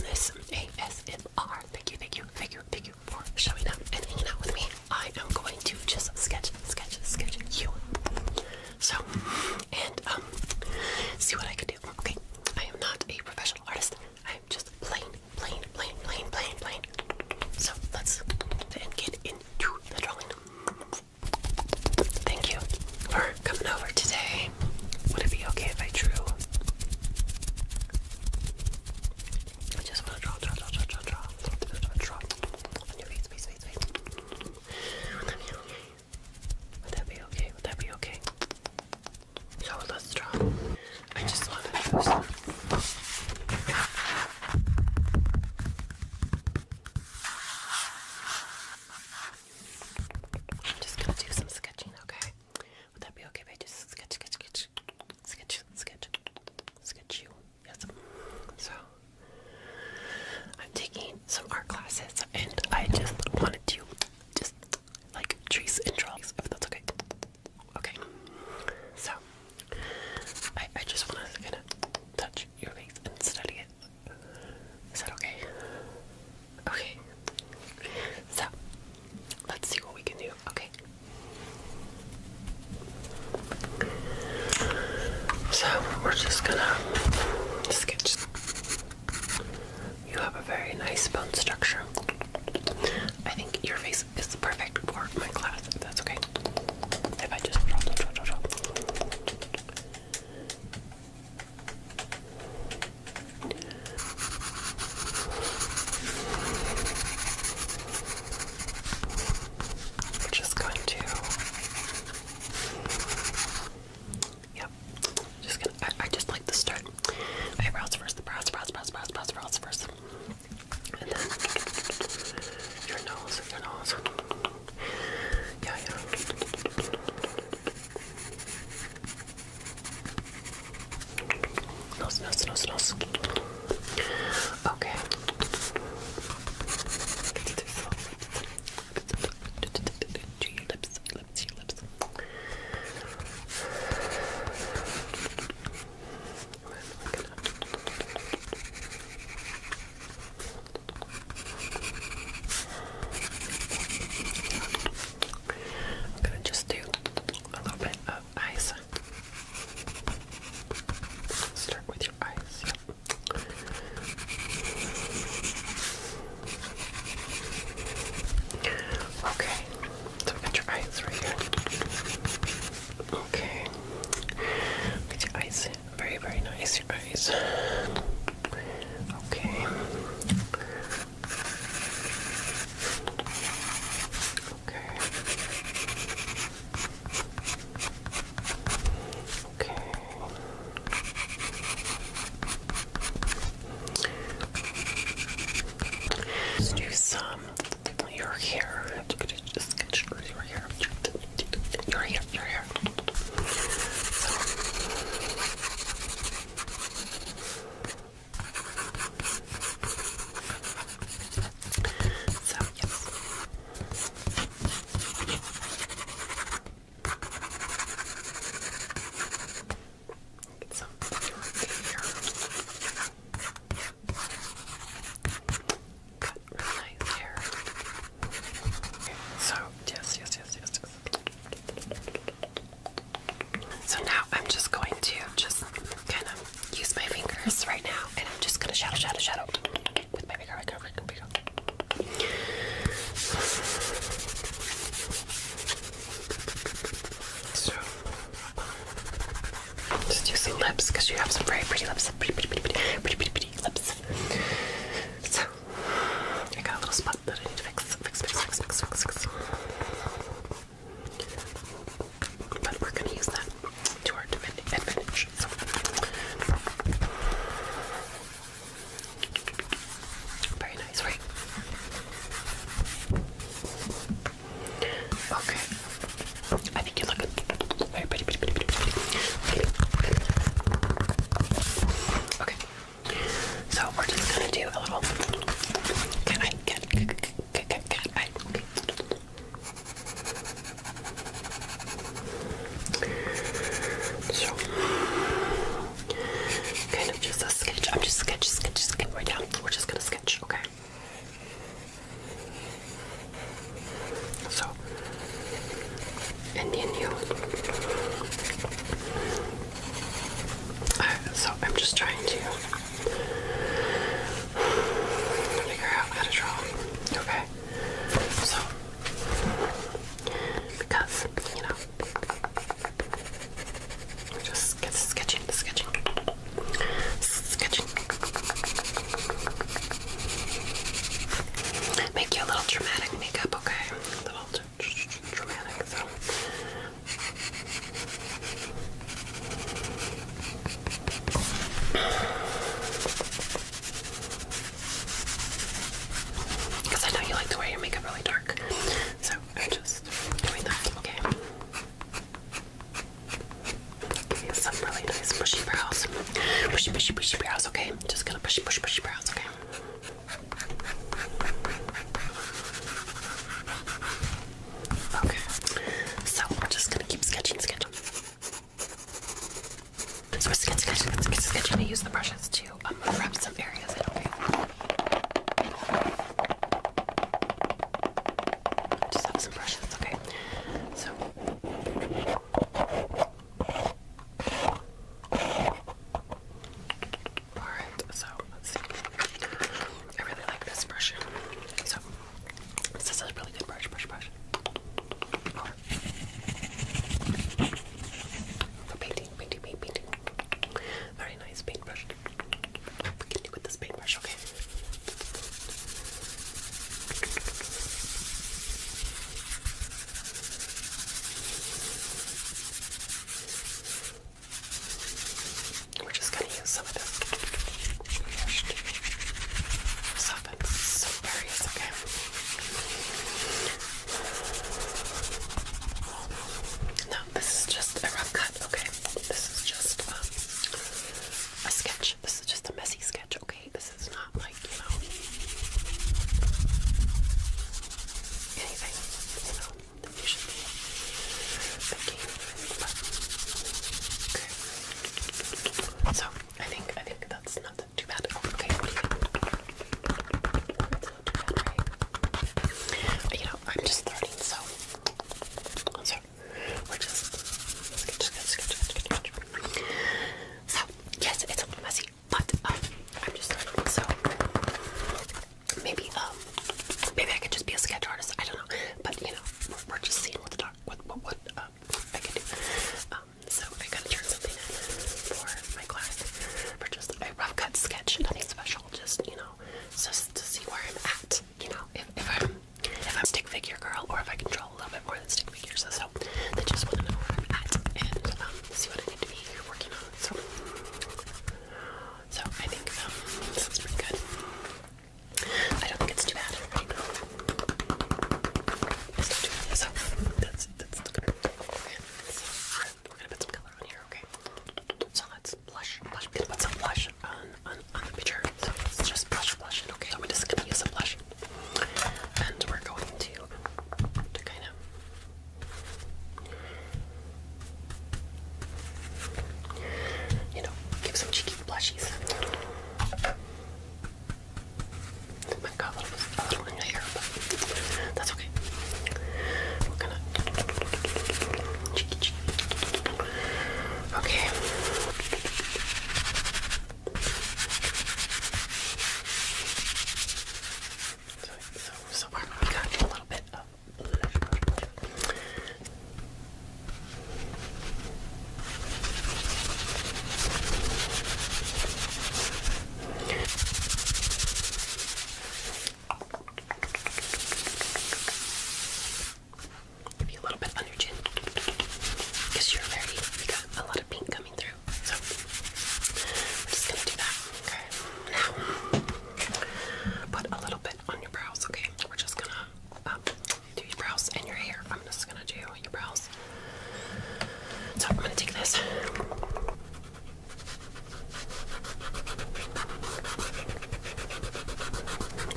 Listen ASMR. Thank you, thank you, thank you, thank you for showing up and hanging out with me. I am going to just sketch, sketch, sketch you. So, and um, see what I can do. Okay, I am not a professional artist. I am just plain, plain, plain, plain, plain, plain. So let's then get into the drawing. Thank you for coming over today. Would it be okay if I drew? I just want to draw, draw, draw, draw, draw, draw, draw, On your face, face, face, face. Would that be okay? Would that be okay? Would that be okay? So let's draw. I just want to draw I'm just gonna do some sketching, okay? Would that be okay if I just sketch, sketch, sketch, sketch, sketch, sketch you? Yes. So, I'm taking some art classes and I just wanted to just like trace and draw, if that's okay. Okay. So, I, I just want to kind of touch your face and study it. Is that okay? Okay. So, let's see what we can do. Okay. So, we're just gonna sketch. You have a very nice bone structure. I think your face is perfect for my class, that's okay. If I just just going to, yep, just gonna, I, I just like to start eyebrows first, the brows, brows, brows, brows, brows, brows first, and then your nose, your nose, yeah, yeah. Nose, nose, nose, nose. Okay. To your lips, lips, your lips. I'm gonna just do a little bit of eyes. Start with your eyes. Okay, so we got your eyes right here. Okay, get your eyes very, very nice. Your eyes. Okay. Okay. Okay. Let's do some your hair. just just sketch your hair. Your hair, your hair. So, yes. Get some Got really nice hair. So, yes, yes, yes, yes, yes. So now I'm just going to just kind of use my fingers right now, and I'm just gonna shadow, shadow, shadow with my bigger, bigger, bigger, bigger. So, just using lips because you have some very pretty lips, pretty, pretty, pretty, pretty, pretty, pretty, pretty lips. So. I got a little spot that I need to fix, fix, fix, fix, fix, fix, fix. But we're gonna use that to our advantage. Very nice, right? Okay. I think you look very Okay. So we're just gonna do a little. Can I get cat cat bite? Okay. So kind of just a sketch. I'm just sketch, sketch, sketch right down. We're just gonna sketch, okay? So, and then you so I'm just trying to figure out how to draw. Okay. So because, you know, just get sketching, sketching, sketching. Make you a little dramatic makeup, okay? little because I know you like to wear your makeup really dark, so I'm just doing that, okay? some really nice bushy brows. Bushy, bushy, bushy brows, okay? Just gonna bushy, bushy, bushy brows, okay? Okay, so we're just gonna keep sketching, sketching. So we're sketching, sketching, sketching, sketching. I use the brushes to um, wrap some areas okay? just have some brushes, okay? So. Alright, so let's see. I really like this brush. So, this is a really good brush, brush, brush. Or, oh, for painting, painting, paint, painting. Very nice paintbrush. We can do with this paintbrush, okay? We're just going to use some of this to soften some areas, okay? No, this is just a rough cut, okay? This is just um, a sketch. This is just a messy sketch, okay? This is not like, you know, anything. You know, that you be So I think I think that's not too bad. Oh, okay. you know, I'm just starting, so so we're just So yes, it's a little messy, but um, I'm just so maybe um maybe I could just be a sketch artist. I don't know, but you know we're, just seeing what the doc what what what um, I can do. Um, so I gotta turn something in for my class for just a rough cut sketch, nothing special. Just you know, just to see where I'm at. You know, if, if I'm if I'm stick figure girl or if I control a little bit more than stick figures. So, they just want to know where I'm at and um, see what I need to be working on. So. So I think um, this pretty good. I don't think it's too bad. Right? It's not So that's that's we're gonna put some color on here, okay? So let blush, blush. We're gonna put some blush on on on the picture. So let just blush, blush it, okay? So we're just gonna use some blush, and we're going to to kind of you know, give some cheeky blushies. Might got a little, in your hair, but that's okay. We're gonna cheeky cheeky. Okay. so, so far we got a little bit of Maybe a little bit on your chin, because you're very you got a lot of pink coming through. So we're just gonna do that. Okay. Now. Put a little bit on your brows, okay? We're just gonna um, do your brows and your hair. I'm just gonna do your brows. So I'm gonna take this.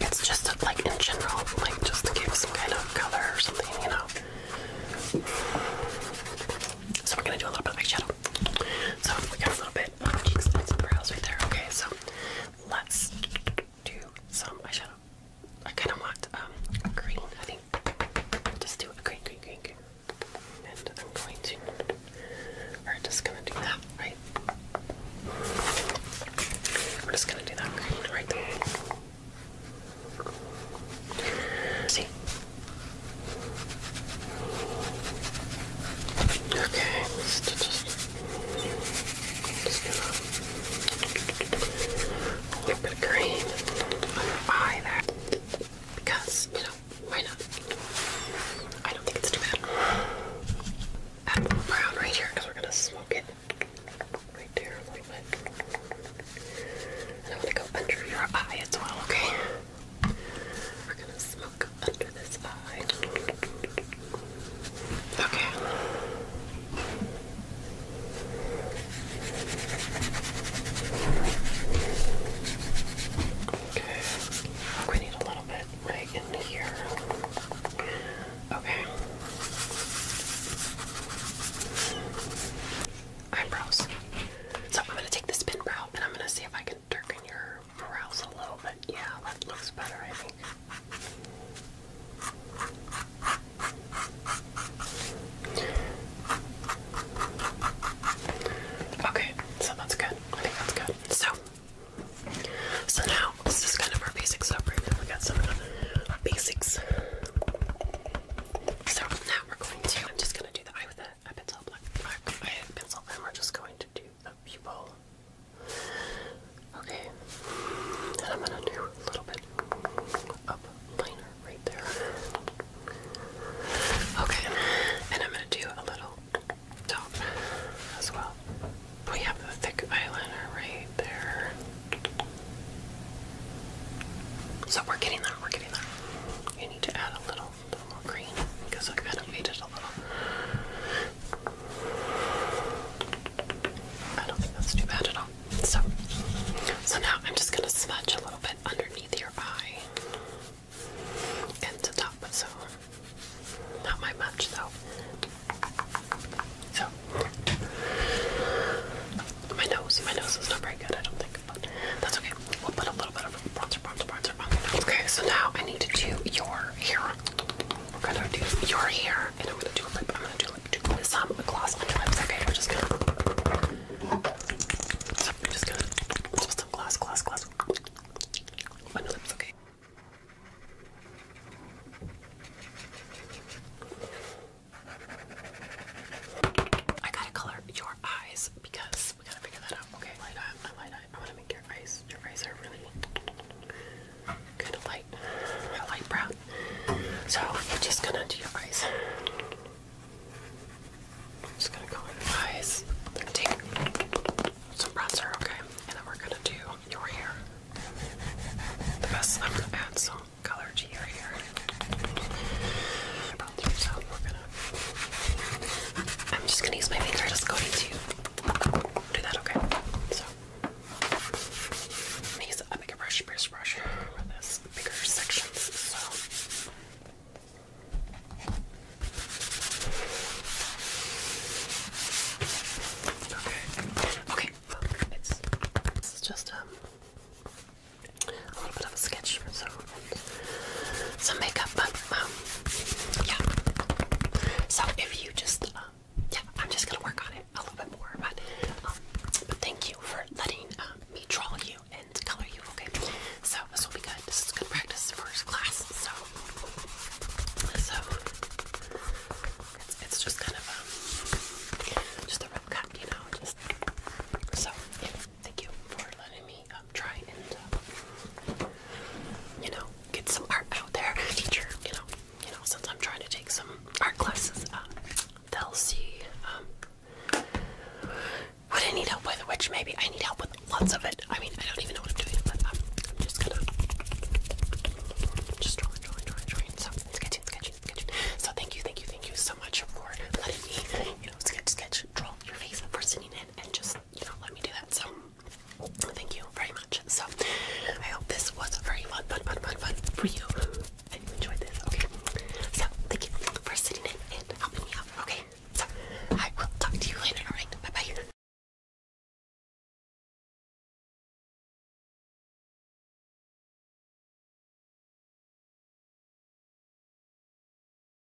It's just like in general, like just to give some kind of color or something, you know. So we're gonna do a little bit of eyeshadow. So we got a little bit bit on right there. Okay, so let's do some eyeshadow. I kind of want um, green, I think. Just do a green, green, green, green. And I'm going to, or just gonna do that, right? We're just gonna do that right See, Okay, just, a little bit of green on your eye there, because, you know, why not? I don't think it's too bad. brown right here, because we're gonna smoke it right there a little bit. And I'm gonna go under your eye as well, okay? We're gonna smoke under this eye. Okay. Okay. We need a little bit right in here. Okay. Eyebrows. So I'm gonna take this pin brow and I'm gonna see if I can darken your brows a little bit. Yeah, that looks better, I think. Okay, so that's good. I think that's good. So, so now this is kind of our basic stuff preview. We got some basics. So now we're going to. I'm just gonna do the eye with a pencil black I pencil and we're just going to do the pupil. Okay. And I'm gonna do a little bit up liner right there. Okay, and I'm gonna do a little top as well. We have the thick eyeliner right there. So we're getting there. we're getting that. You need to add a little a little more green because I kind of faded a little. I don't think that's too bad at all. So, so now I'm just gonna smudge a little bit underneath your eye and to top. So, not my much though. So, my nose, my nose is not very good. I don't think quick, but that's okay. We'll put a little bit of bronzer, bronzer, bronzer on the nose. Okay, so now I need to do your hair. We're gonna do your hair, and I'm gonna do a lip. I'm gonna do lip too. Some gloss on your lips. Okay, we're just gonna. So I'm just gonna put some gloss, gloss, gloss on your lips. Okay. I gotta color your eyes because we gotta figure that out. Okay, light up, I light I, want to make your eyes, your eyes are really kind of light, a light brown. So i are just gonna do your eyes. just gonna go in the eyes. i take some bronzer, okay, and then we're gonna do your hair. The best I'm gonna add some color to your hair. About so we're gonna I'm just gonna use my finger just going to do that, okay? So use a bigger brush, bigger brush for this bigger sections. So Okay. Okay. It's this is just um, a little bit of a sketch, so some makeup, but um, yeah. So if you just, uh, yeah, I'm just gonna work on it a little bit more, but um, but thank you for letting uh, me draw you and color you. Okay, so this will be good. This is good practice for class. So, so it's, just kind of um, just a rough cut, you know. Just so Thank you for letting me um, try and, uh, you know, get some art out there, teacher. You know, you know, since I'm trying to take some art classes, um, they'll see um, what I need help with. Which maybe I need help with lots of it. I mean, I don't even know what I'm doing, but um, I'm just gonna just drawing, drawing, drawing, drawing. So sketching, sketching, sketching. So thank you, thank you, thank you so much for letting me, you know, sketch, sketch, draw your face for sitting in and just just you know, let me do that. So thank you very much. So I hope this was very fun, fun, fun, fun, fun for you. I you enjoyed this. Okay. So thank you for sitting in and helping me out. Okay. So I will talk to you later. All right. Bye bye.